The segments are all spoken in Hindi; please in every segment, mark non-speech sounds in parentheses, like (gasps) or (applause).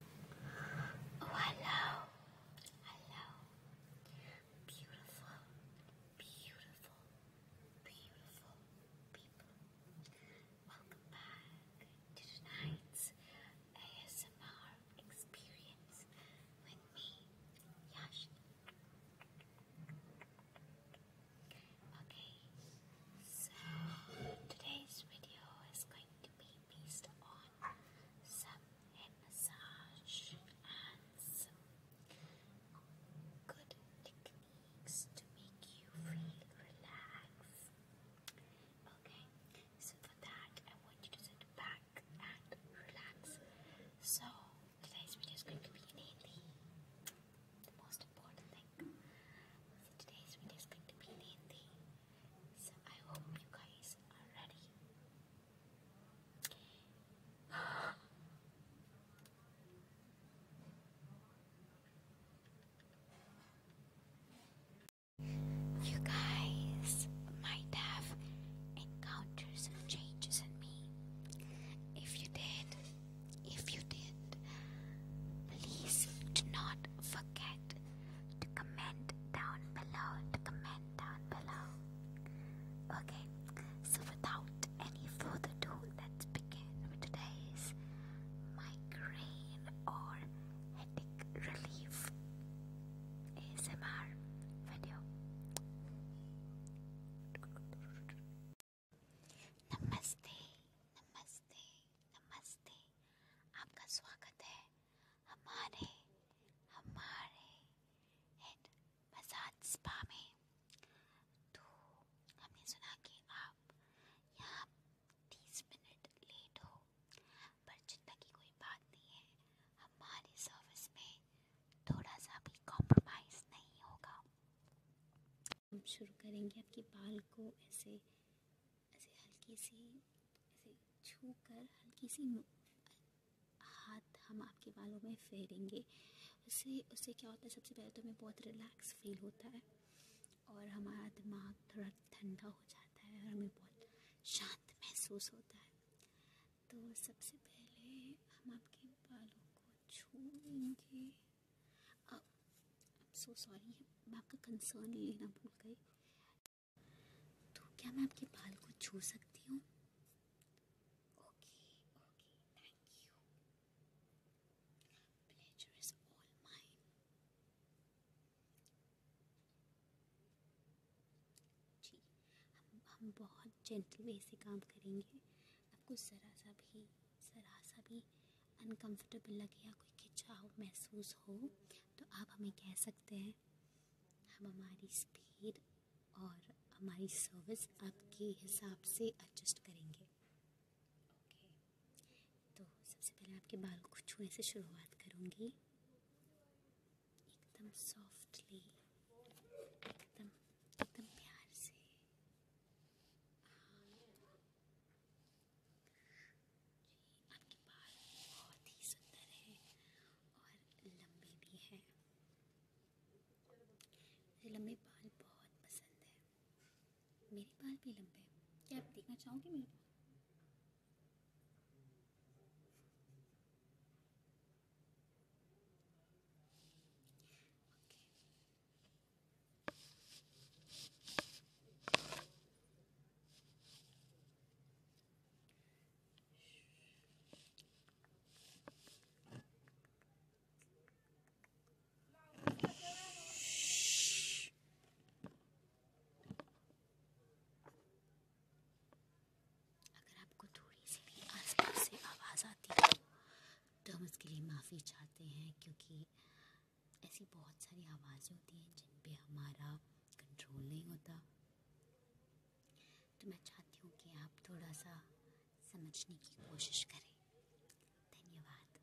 Oh, hello, hello, beautiful, beautiful, beautiful people. Welcome back to tonight's ASMR experience with me, Yash. Okay, so today's video is going to be based on some head massage and some good techniques to make you feel relaxed. Okay, so for that, I want you to sit back and relax. So, today's video is going to be mainly the most important thing. today's video is going to be mainly so I hope you guys are ready. (gasps) You guys might have encountered some changes in me. If you did, if you did, please do not forget to comment down below, to comment down below. Okay, so without any further ado, let's begin with today's migraine or headache relief ASMR video. Namaste, namaste, नमस्ते आपका स्वागत है हमारे हमारे तो हमने सुना कि आप यहाँ तीस मिनट लेट हो पर चिंता की कोई बात नहीं है हमारी सर्विस में थोड़ा सा भी कॉम्प्रोमाइज़ नहीं होगा हम शुरू करेंगे आपके बाल को ऐसे ऐसे हल्की सी ऐसे छू कर हल्की सी हाथ हम आपके बालों में फेरेंगे उससे उससे क्या होता है सबसे पहले तो हमें बहुत रिलैक्स फील होता है और हमारा दिमाग थोड़ा ठंडा हो जाता है और हमें बहुत शांत महसूस होता है तो सबसे पहले हम आपके बालों को छूएंगे अब सो सॉरी मैं आपका कंसर्न लेना भूल गई तो क्या मैं आपके बाल को छू सकती हूँ हम बहुत जेंटल वे से काम करेंगे आपको ज़रा सा भी ज़रा सा भी अनकंफर्टेबल लगे या कोई खिंचाव महसूस हो तो आप हमें कह सकते हैं हम हमारी स्पीड और हमारी सर्विस आपके हिसाब से एडजस्ट करेंगे तो सबसे पहले आपके बाल को छूने से शुरुआत करूँगी एकदम सॉफ्टली एकदम एकदम प्यार से जी आपके बाल बहुत ही सुंदर है और लंबे भी हैं मुझे लंबे बाल बहुत पसंद है मेरे बाल भी लंबे हैं क्या आप देखना चाहोगे मेरे बाल आवाज़ आती है तो हम उसके लिए माफ़ी चाहते हैं क्योंकि ऐसी बहुत सारी आवाज़ें होती हैं जिन पे हमारा कंट्रोल नहीं होता तो मैं चाहती हूँ कि आप थोड़ा सा समझने की कोशिश करें धन्यवाद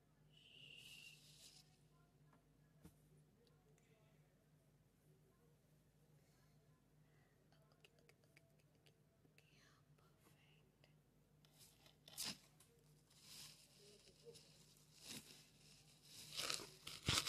okay, okay, okay, okay, okay. Perfect.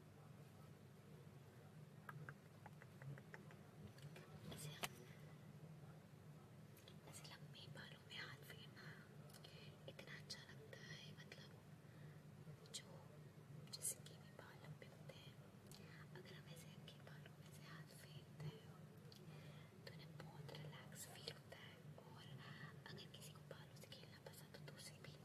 ऐसे लंबी बालों में हाथ फेरना इतना अच्छा लगता है मतलब जो जैसे कि भी बाल लंबे होते हैं अगर हम ऐसे हल्के बालों में से हाथ फेरते हैं तो उन्हें बहुत रिलैक्स फील होता है और अगर किसी को बालों से खेलना पसंद हो तो उसे भी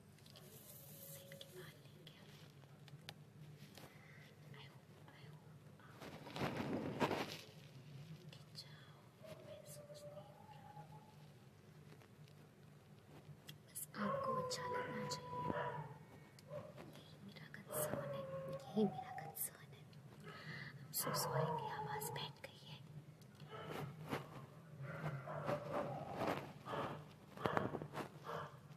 सीट मार लेंगे आई होप आई होप आप खिंचाओ महसूस नहीं हो रहा बस आपको अच्छा लगना चाहिए यही मेरा कंसर्न है यही मेरा कंसर्न है हम सो सॉरी की आवाज़ बैठ गई है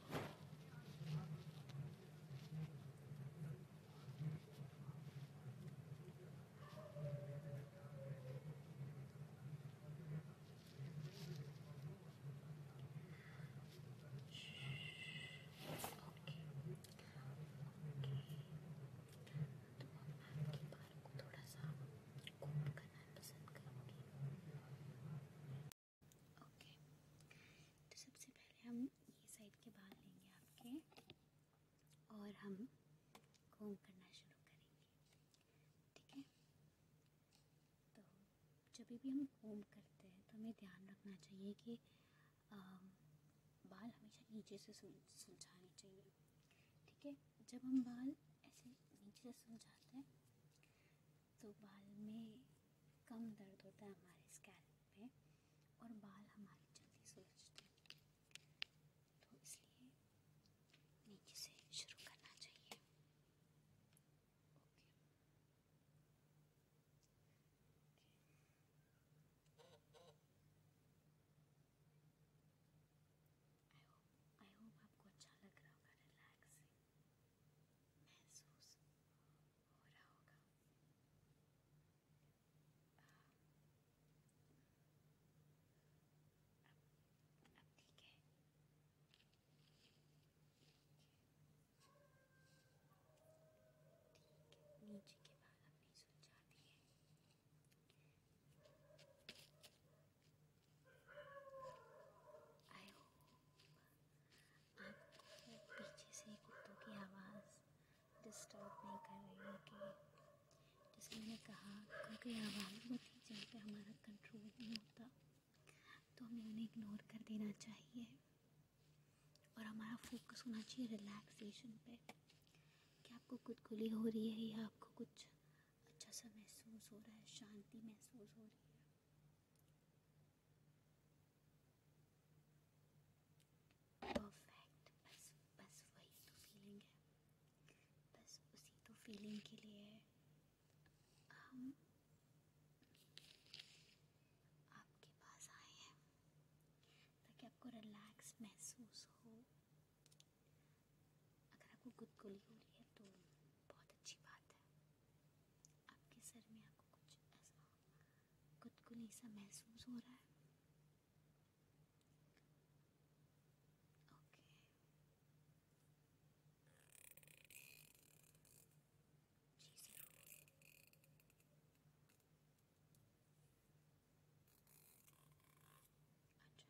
थोड़ा सा कोट करना पसंद करूँगी तो सबसे पहले हम साइड के बाल लेंगे आपके और हम घूम करना शुरू करेंगे ठीक है तो जब भी हम घूम करते हैं तो हमें ध्यान रखना चाहिए कि बाल हमेशा नीचे से सुलझाने चाहिए ठीक है जब हम बाल ऐसे नीचे से सुलझाते हैं तो बाल में कम दर्द होता है हमारे स्कैल्प पे और बाल हमारे जल्दी सूझते हैं तो इसलिए नीचे से शुरू करना चाहिए okay I hope I hope आपको अच्छा लग रहा होगा रिलैक्सिंग महसूस हो रहा होगा अब, अब ठीक है ठीक है नीचे के बाल अपनी सुलझा दी है आई कहा आवाज़ होती है जिन पर हमारा कंट्रोल नहीं होता तो हमें उन्हें इग्नोर कर देना चाहिए और हमारा फोकस होना चाहिए रिलैक्सेशन पे कि आपको गुदगुली हो रही है या आपको कुछ अच्छा सा महसूस हो रहा है शांति महसूस हो रही है परफेक्ट बस बस वही तो फीलिंग है बस उसी तो फीलिंग के लिए हम आपके पास आए हैं ताकि आपको रिलैक्स महसूस हो अगर आपको गुदगुली हो रही है तो बहुत अच्छी बात है आपके सर में आपको कुछ ऐसा गुदगुली सा महसूस हो रहा है ओके जी जरूर अच्छा अच्छा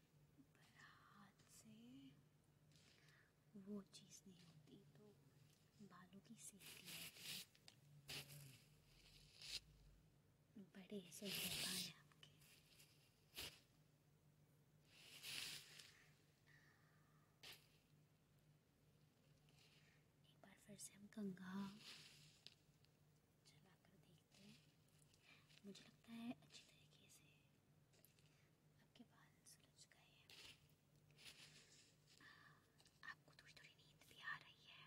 पर हाथ से वो चीज़ नहीं होती तो बालों की सेफ्टी होती है बड़े सुंदर बाल हैं आपके एक बार फिर से हम कंघा चला कर देखें देखते हैं मुझे लगता है अच्छी तरीके से आपके बाल सुलझ गए हैं आपको थोड़ी थोड़ी नींद भी आ रही है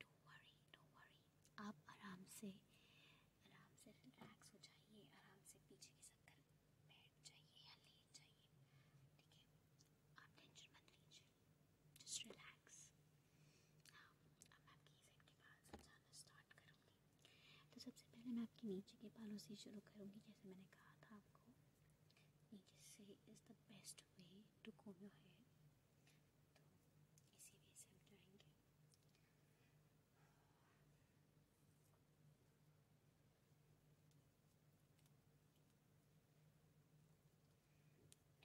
डो वरी डो वरी आप आराम से आराम से रिलैक्स हो जाइए आराम से पीछे की सककर बैठ जाइए या लेट जाइए ठीक है आप टेंशन मत लीजिए जस्ट रिलैक्स हाँ अब आपकी साइड के बाल समझाना स्टार्ट करूँगी तो सबसे पहले मैं आपके नीचे के बालों से शुरू करूँगी जैसे मैंने कहा था आपको नीचे से is the best way to comb your hair तो इसी वे से हम जाएंगे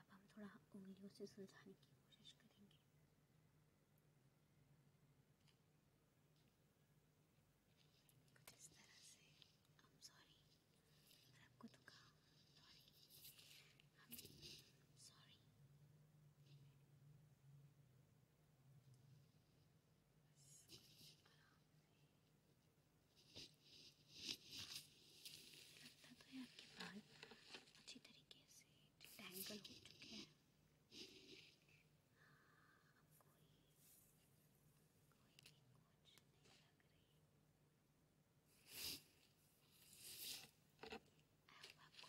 अब हम थोड़ा उंगलियों से सुलझाने की कोशिश करेंगे कुछ इस तरह से आई एम सॉरी अगर आपको दुखा सॉरी हम सॉरी आराम से लगता तो है आपके बाल अच्छी तरीके से टैंगल हो चुके हैं कोई कोई भी कुछ नहीं लग रही आपको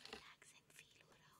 रिलैक्सिंग फील हो रहा हो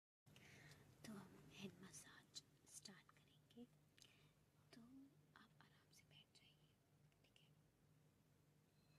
तो हम हैंड मसाज स्टार्ट करेंगे तो आप आराम से बैठ जाइए ठीक है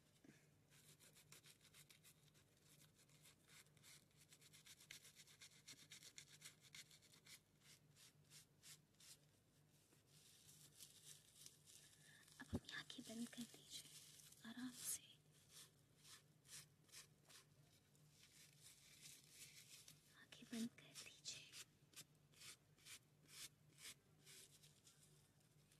अब अपनी आंखें बंद कर दीजिए आराम से आंखें बंद कर दीजिए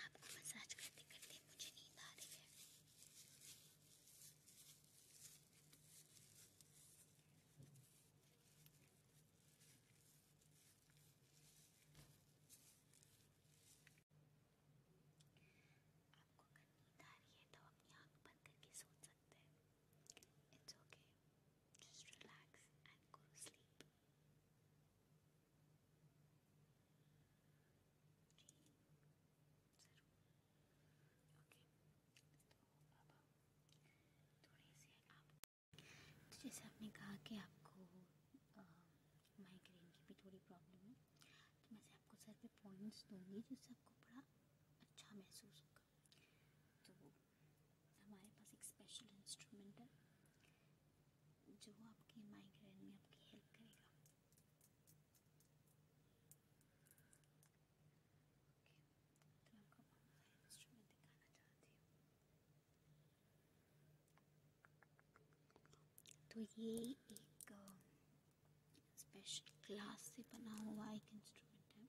आपको मसाज करते करते मुझे नींद आ रही है आपको अगर नींद आ रही है तो अपनी आंख बंद करके सोच सकते जैसे आपने कहा कि आपको माइग्रेन की भी थोड़ी प्रॉब्लम है तो मैं आपको सर पे दूंगी जिससे आपको बड़ा अच्छा महसूस होगा तो हमारे पास एक स्पेशल इंस्ट्रूमेंट है जो आपके माइग्रेन में आपकी हेल्प करेगा तो, तो ये एक स्पेशल uh, ग्लास से बना हुआ एक इंस्ट्रूमेंट है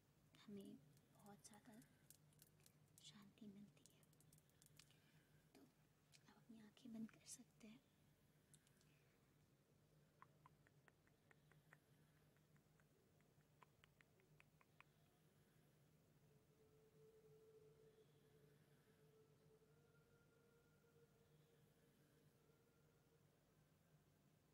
हमें बहुत ज़्यादा शांति मिलती है तो आप अपनी आंखें बंद कर सकते हैं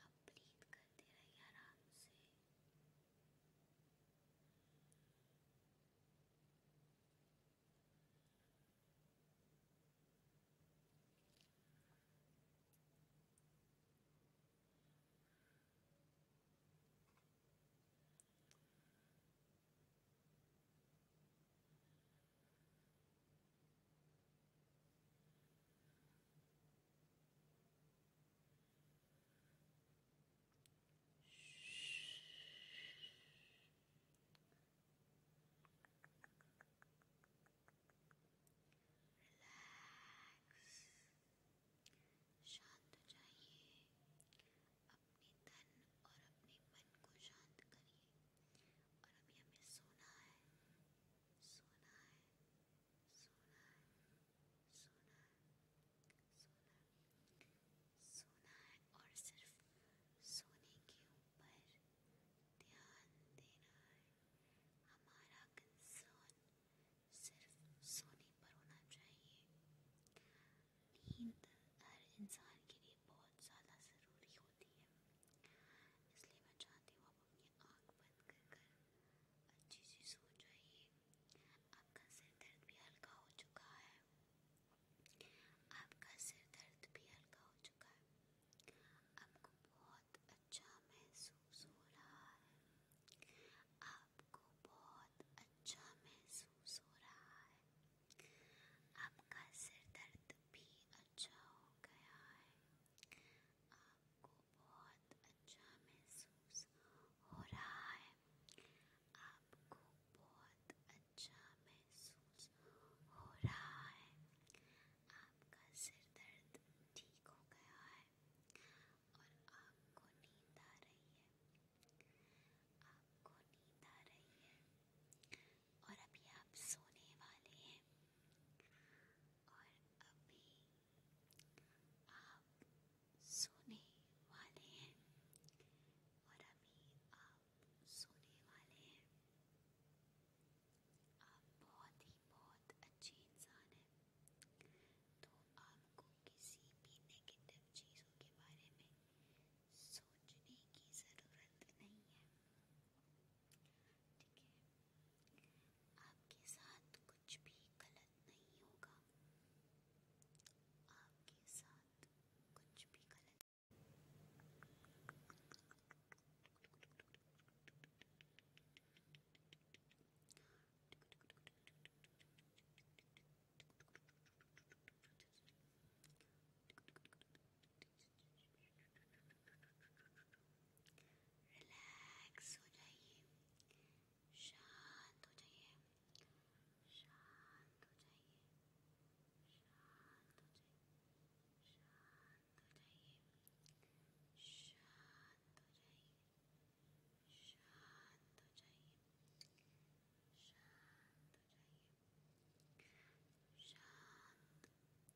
अब ब्रीथ करते रहिए आराम से रिलैक्स शांत हो जाइए अपने तन और अपने मन को शांत करिए और अभी हमें सोना है सोना है सोना सोना सोना सोना है और सिर्फ सोने के ऊपर ध्यान देना है हमारा कंसर्न सिर्फ सोने पर होना चाहिए नींद हर इंसान के लिए बहुत ज़्यादा ज़रूरी होती है इसलिए मैं चाहती हूँ अपनी आँख बंद कर कर अच्छे से सो जाइए आपका सिर दर्द भी हल्का हो चुका है आपका सिर दर्द भी हल्का हो चुका है आपको बहुत अच्छा महसूस हो रहा है आपको बहुत अच्छा महसूस हो रहा है आपका सिर दर्द भी अच्छा हो गया है आपको बहुत अच्छा महसूस हो रहा है आपको बहुत अच्छा महसूस हो रहा है आपका सिर दर्द ठीक हो गया है और आपको नींद आ रही है आपको नींद आ रही है और अभी आप सोने वाले हैं और अभी आप सोने वाले हैं और अभी आप सोने वाले हैं आप बहुत ही बहुत अच्छे इंसान हैं तो आपको किसी भी नेगेटिव चीज़ों के बारे में सोचने की ज़रूरत नहीं है ठीक है आपके साथ कुछ भी गलत नहीं होगा आपके साथ कुछ भी गलत रिलैक्स हो जाइए शांत हो जाइए शांत हो जाइए शांत हो जाइए शांत हो जाइए शांत हो जाइए शांत हो जाइए शांत हो जाइए शांत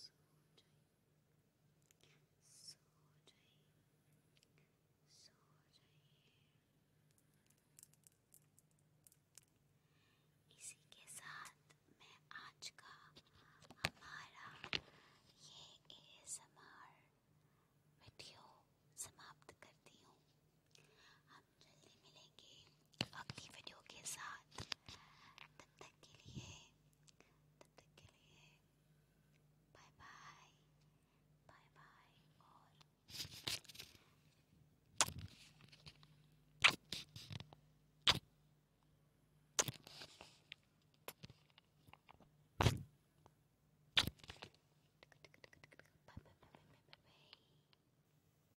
सो जाइए सो जाइए सो जाइए इसी के साथ मैं आज का हमारा ये एएसएमआर वीडियो समाप्त करती हूँ साथ जल्दी मिलेंगे अगली वीडियो के साथ तब तक के लिए तब तक के लिए बाय बाय बाय बाय और